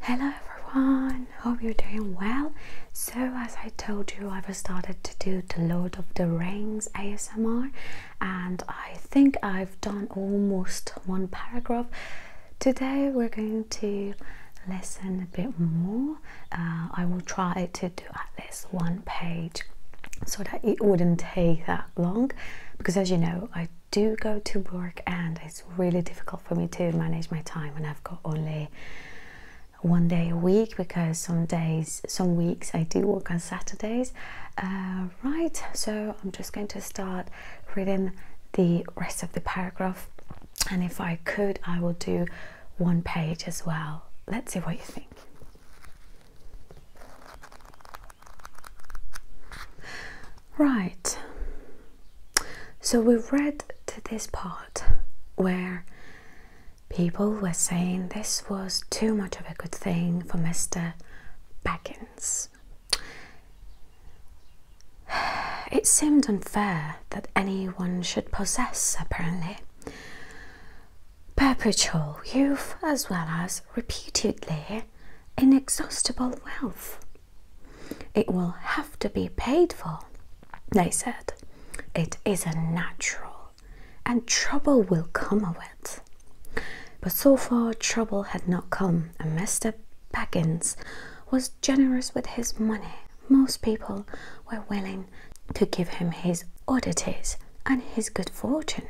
Hello everyone, hope you're doing well. So as I told you, I've started to do the Lord of the Rings ASMR and I think I've done almost one paragraph. Today we're going to listen a bit more. Uh, I will try to do at least one page so that it wouldn't take that long because as you know I do go to work and it's really difficult for me to manage my time when I've got only one day a week because some days, some weeks I do work on Saturdays. Uh, right, so I'm just going to start reading the rest of the paragraph and if I could I will do one page as well. Let's see what you think. Right. So we've read to this part where people were saying this was too much of a good thing for Mr. Baggins. It seemed unfair that anyone should possess, apparently, perpetual youth as well as reputedly inexhaustible wealth. It will have to be paid for, they said. It is unnatural, and trouble will come of it. But so far, trouble had not come, and Mr. Baggins was generous with his money. Most people were willing to give him his oddities and his good fortune.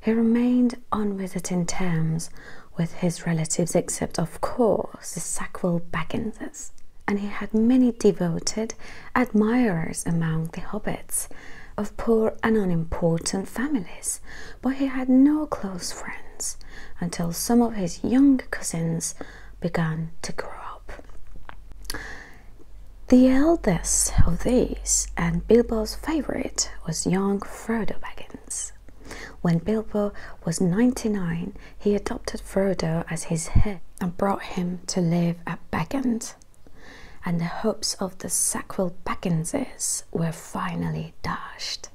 He remained on visiting terms with his relatives, except, of course, the Sackville Bagginses, and he had many devoted admirers among the hobbits of poor and unimportant families, but he had no close friends until some of his young cousins began to grow up. The eldest of these, and Bilbo's favourite, was young Frodo Baggins. When Bilbo was 99, he adopted Frodo as his heir and brought him to live at Bagand, and the hopes of the Sackville Bagginses were finally dashed.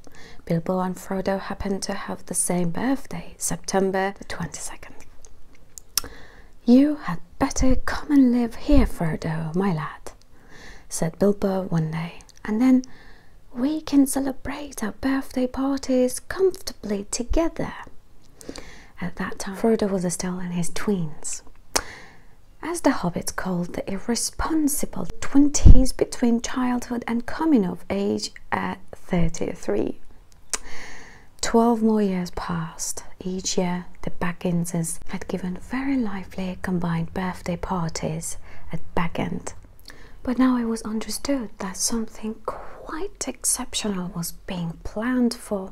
Bilbo and Frodo happened to have the same birthday, September the 22nd. You had better come and live here, Frodo, my lad, said Bilbo one day, and then we can celebrate our birthday parties comfortably together. At that time, Frodo was still in his tweens. As the hobbits called the irresponsible 20s between childhood and coming of age at 33. Twelve more years passed. Each year, the Bagginses had given very combined birthday parties at back end, But now it was understood that something quite exceptional was being planned for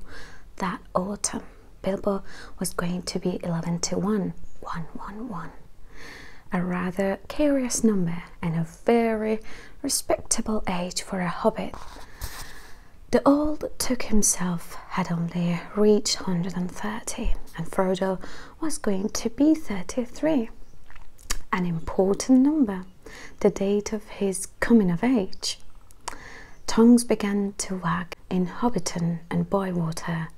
that autumn. Bilbo was going to be 11 to 1, 111. A rather curious number and a very respectable age for a hobbit. The old Took himself had only reached 130 and Frodo was going to be 33, an important number, the date of his coming of age. Tongues began to wag in Hobbiton and Bywater,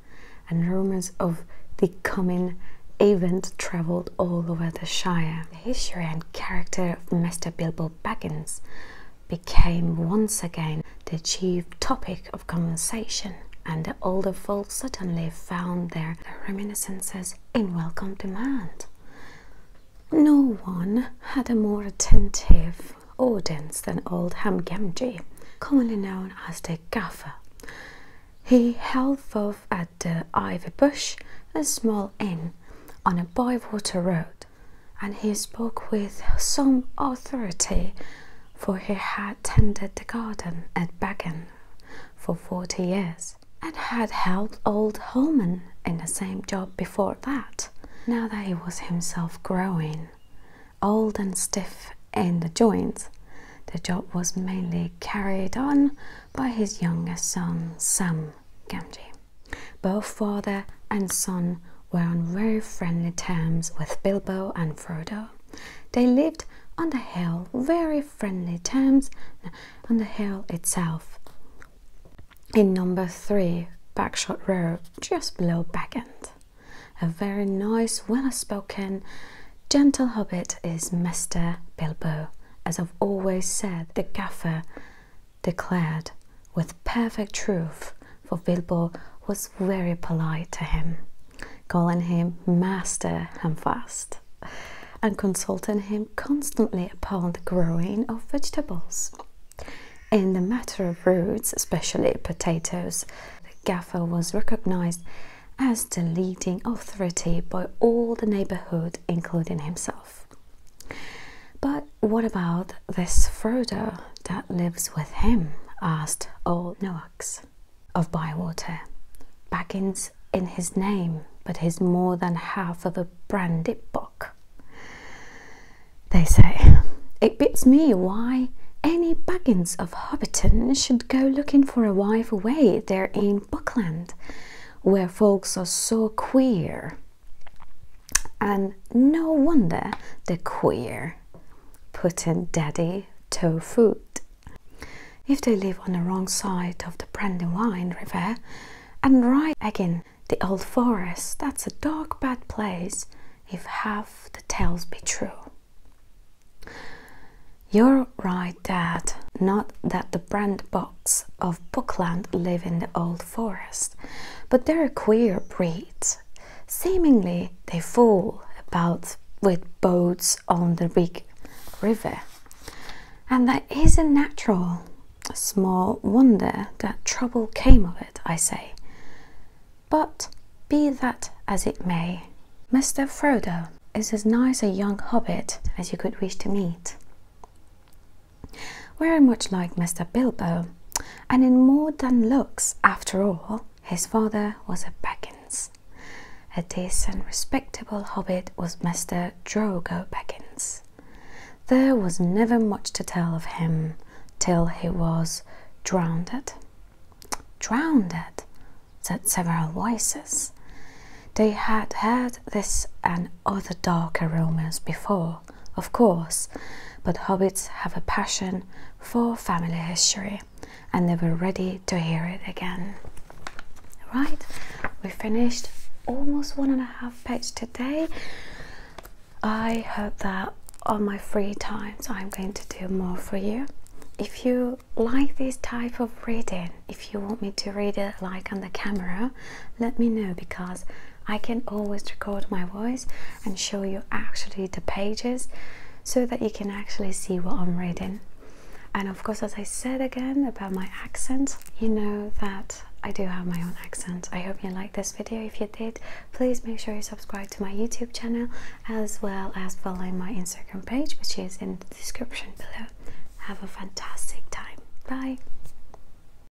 and rumours of the coming event travelled all over the Shire. The history and character of Mr. Bilbo Baggins became once again the chief topic of conversation, and the older folk suddenly found their reminiscences in welcome demand. No one had a more attentive audience than old Hamgemji, commonly known as the Gaffer. He held forth at the Ivy Bush, a small inn on a bywater road, and he spoke with some authority, for he had tended the garden at Bagan for forty years, and had helped old Holman in the same job before that. Now that he was himself growing, old and stiff in the joints, the job was mainly carried on by his younger son Sam Gamgee. Both father and son were on very friendly terms with Bilbo and Frodo. They lived on the hill, very friendly terms on the hill itself. In number three, Backshot Row, just below End, A very nice, well-spoken, gentle hobbit is Mr. Bilbo, as I've always said, the gaffer declared with perfect truth for Bilbo was very polite to him, calling him Master Hamfast and consulting him constantly upon the growing of vegetables. In the matter of roots, especially potatoes, the gaffer was recognized as the leading authority by all the neighborhood, including himself. But what about this Frodo that lives with him, asked old Noaks, of Bywater. Baggins in his name, but he's more than half of a brandy They say, It beats me why any Baggins of Hobbiton should go looking for a wife away there in Buckland, where folks are so queer. And no wonder the queer put in daddy toe If they live on the wrong side of the Brandywine River and ride again the old forest, that's a dark bad place if half the tales be true. You're right, Dad. Not that the brand box of Buckland live in the old forest, but they're a queer breed. Seemingly, they fall about with boats on the big river, and that is a natural. Small wonder that trouble came of it, I say. But be that as it may, Mr. Frodo is as nice a young hobbit as you could wish to meet. Very much like Mr. Bilbo, and in more than looks, after all, his father was a Beckins. A decent, respectable hobbit was Mr. Drogo Beckins. There was never much to tell of him till he was drowned. Drowned, said several voices. They had heard this and other darker rumours before, of course, but hobbits have a passion for family history and they were ready to hear it again. Right, we finished almost one and a half pages today. I hope that on my free time, I'm going to do more for you. If you like this type of reading, if you want me to read it like on the camera, let me know because I can always record my voice and show you actually the pages so that you can actually see what I'm reading. And of course, as I said again about my accent, you know that I do have my own accent. I hope you liked this video. If you did, please make sure you subscribe to my YouTube channel as well as following my Instagram page, which is in the description below. Have a fantastic time. Bye.